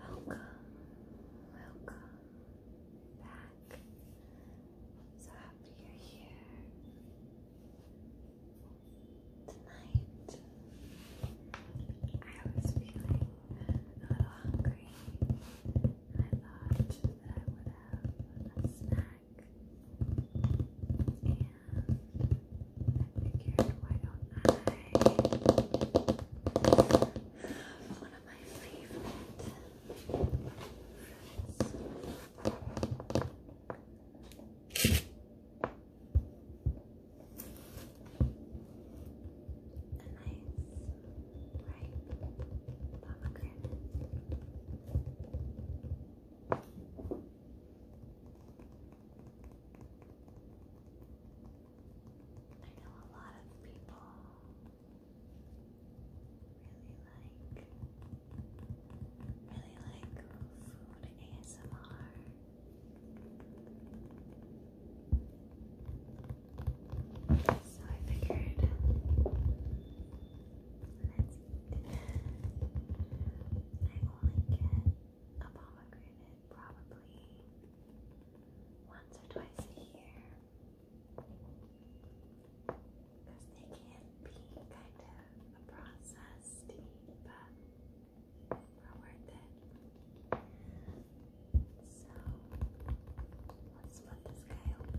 Hello. Welcome. Welcome back. So happy you're here. Tonight, I was feeling a little hungry, I thought that I would have a snack and I figured, why don't I have one of my favorite a nice ripe I know a lot of people really like really like food ASMR. So I figured Let's I only get a pomegranate probably once or twice a year. Because they can be kind of a process but they worth it. So let's flip this guy open.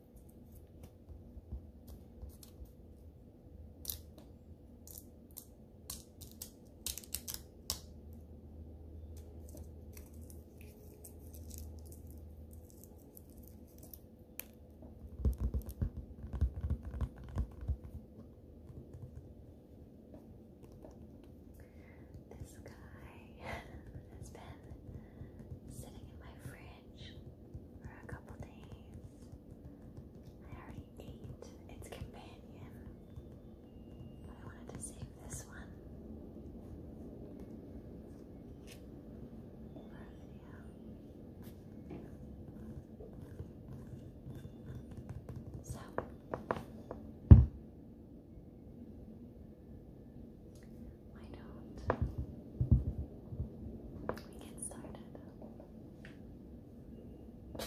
This guy has been sitting in my fridge for a couple days. I already ate its companion, I wanted to save this one So, why don't we get started? that I'm going to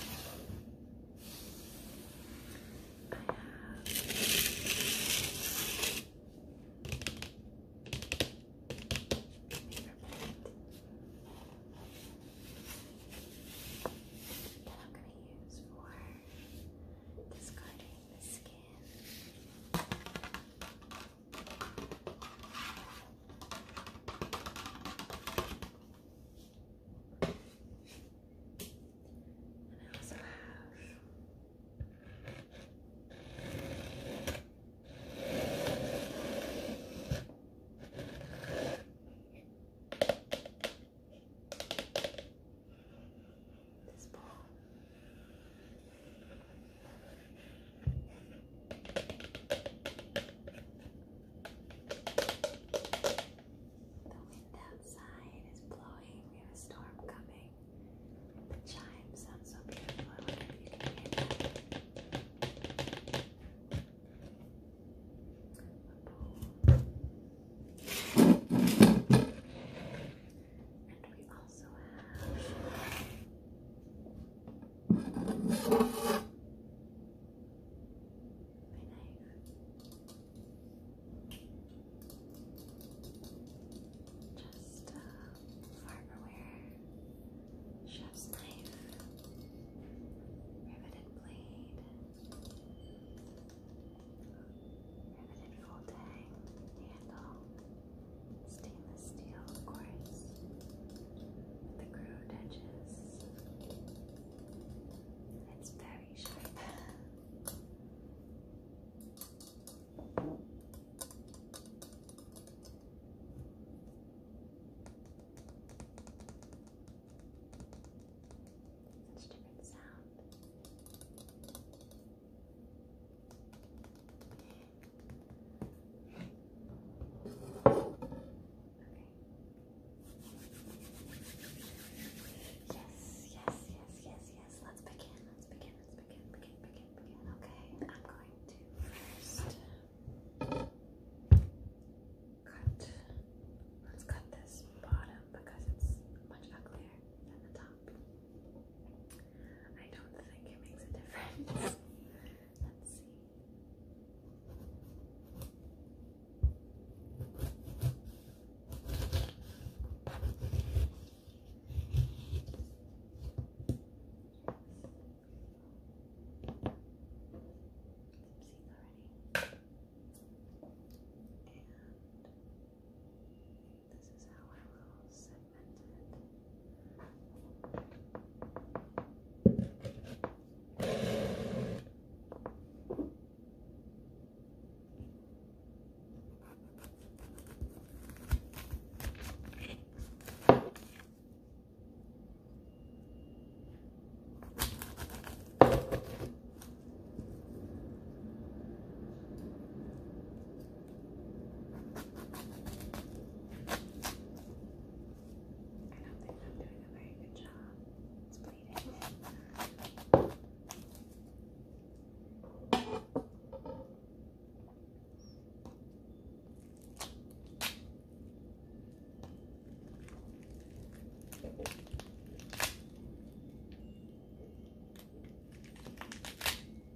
use for discarding the skin. And I also have this ball. The wind outside is blowing. We have a storm coming. The chime sounds so beautiful also have knife. Just uh, chef's knife, riveted blade, riveted full handle, Stainless steel, of course, the grooved edges. It's very sharp. Such a different sound. Yes, yes, yes, yes, yes. Let's begin. Let's begin. Let's begin. Begin. Begin. Begin. Okay. I'm going to first cut. Let's cut this bottom because it's much uglier than the top. I don't think it makes a difference. Let's see this is how I will segment it. I don't think I'm doing a very good job. It's bleeding.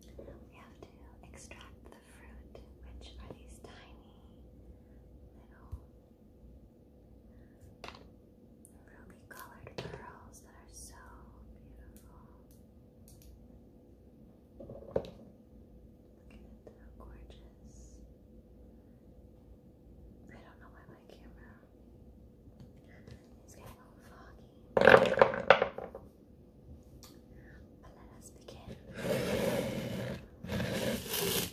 Now, we have to extract the fruit, which are these tiny little ruby colored pearls that are so beautiful. Look at it, gorgeous. I don't know why my camera is getting a foggy. But let us begin.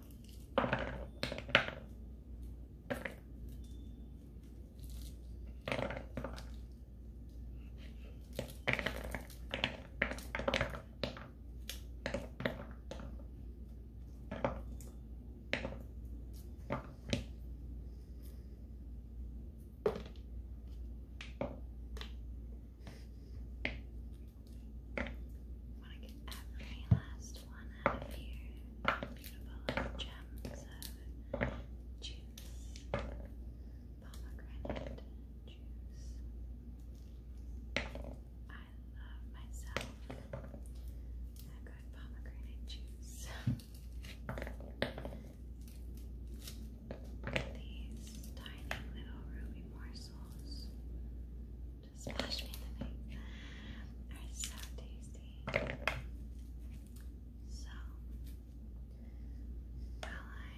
When I get every last one out of here. Beautiful gems of juice, pomegranate juice. I love myself a good pomegranate juice. These tiny little ruby morsels splash me in the face so tasty. So, while I'm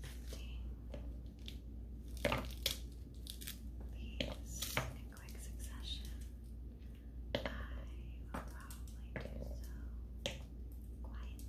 emptying these in quick succession, I will probably do so quietly.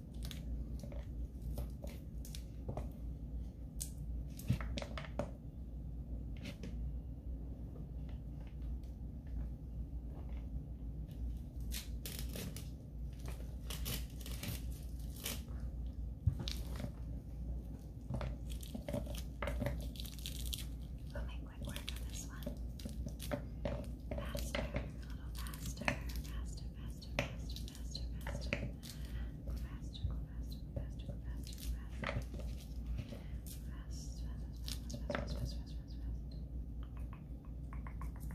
We'll make quick work on this one. Faster, a little faster, faster, faster, faster, faster, faster. Go faster, go faster, go faster, go faster, go faster. Fast, fast, fast, fast, fast, fast, fast, fast, fast. Beyond,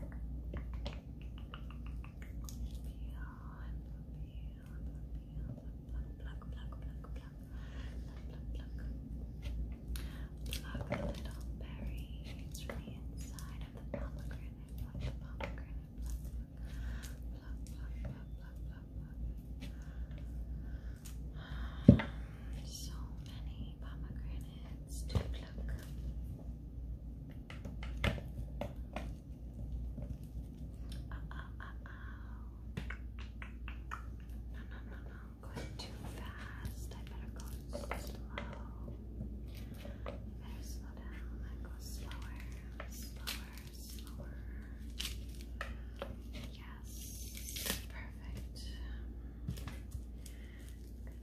beyond, beyond, pluck, pluck, pluck, pluck, pluck, pluck, pluck, pluck pluck the little berries from the inside of the pomegranate. Pluck the pomegranate. Pluck, pluck, pluck, pluck, pluck, pluck. pluck. So many pomegranates to pluck. Uh, uh, uh, oh. No, no, no, no. I'm too fast. I better go slow. better slow down and go slower, slower, slower. Yes, perfect.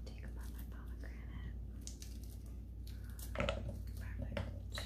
take about my pomegranate. Perfect, Go fast,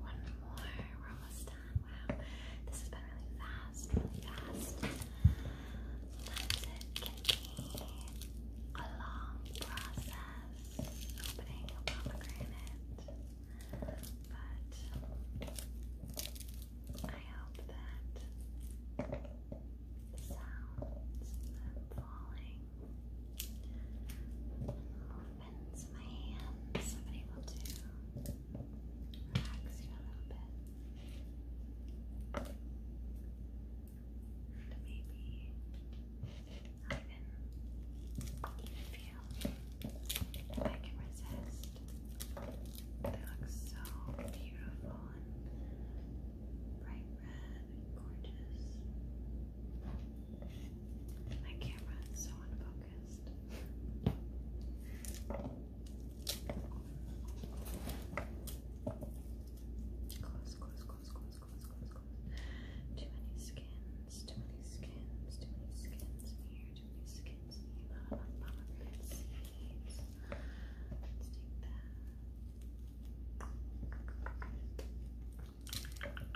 One more. We're almost done. Wow. This has been really fast, really fast. Sometimes it can be a long process opening a pomegranate, but I hope that the sounds and falling and movements of my hands have been able to relax you a little bit. And maybe not even, feel I can resist. They look so beautiful and bright red and gorgeous. My camera is so unfocused. Close, close, close, close, close, close, close. Too many skins, too many skins, too many skins in here, too many skins in here. Not enough pomegranate seeds. Let's take that.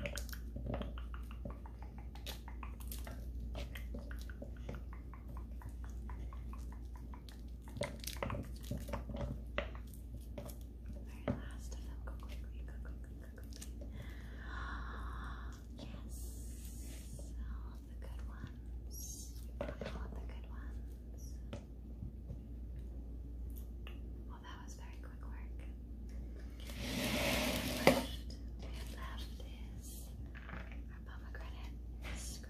Let's our last Yes. All the good ones. all the good ones. Well, that was very quick work. And left, and left is our pomegranate perhaps a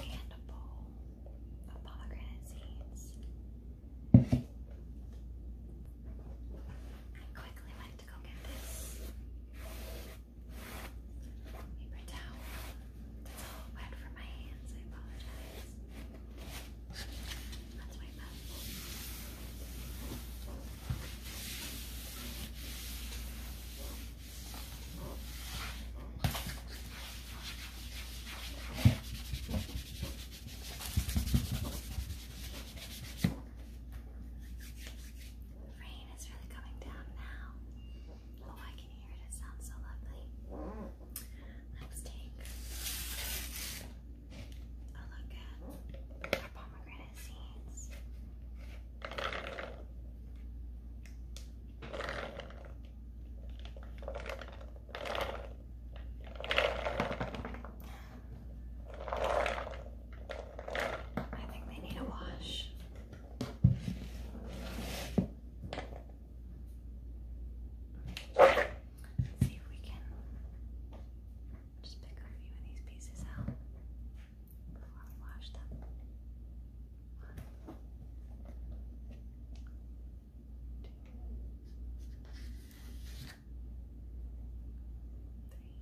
And a bowl of pomegranate seeds. I quickly went to go get this paper towel. That's all wet for my hands. I apologize. That's my the rain is really coming down now. Oh, I can hear it. It sounds so lovely. Let's take a look at our pomegranate seeds. I think they need a wash. Let's see if we can just pick a few of these pieces out before we wash them. One, two, three.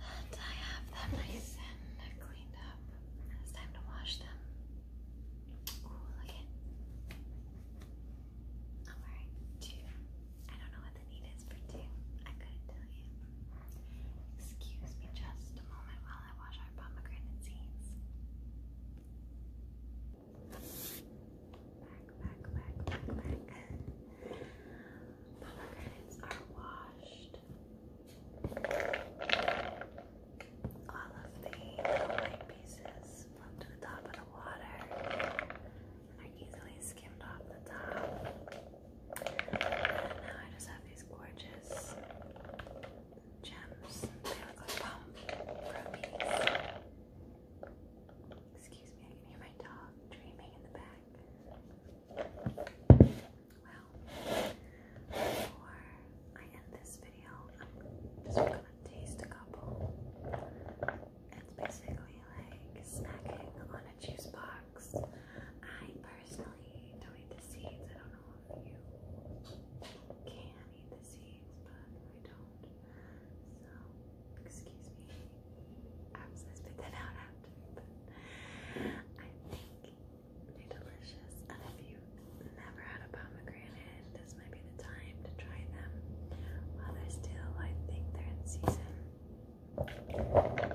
I have them nice cleaned up. It's time to wash them. Ooh, look 2 i do not know what the need is for two. I couldn't tell you. Excuse me just a moment while I wash our pomegranate seeds. Back, back, back, back, back. Pomegranates are washed. All of the white pieces float to the top of the water and are easily skimmed off the top. now I just have these gorgeous gems. They look like palm rubies. Excuse me, I can hear my dog dreaming in the back before I end this video, I'm just gonna taste a couple. It's basically like snacking on a juice box. I personally don't eat the seeds. I don't know if you can eat the seeds, but I don't. So, excuse me I was gonna spit that out after, but I think they're delicious. And if you've never had a pomegranate, this might be the time to try them while they're still, I think they're in season. Anyways.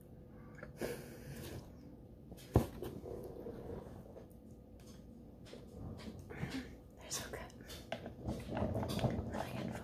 They're so good. Really handful.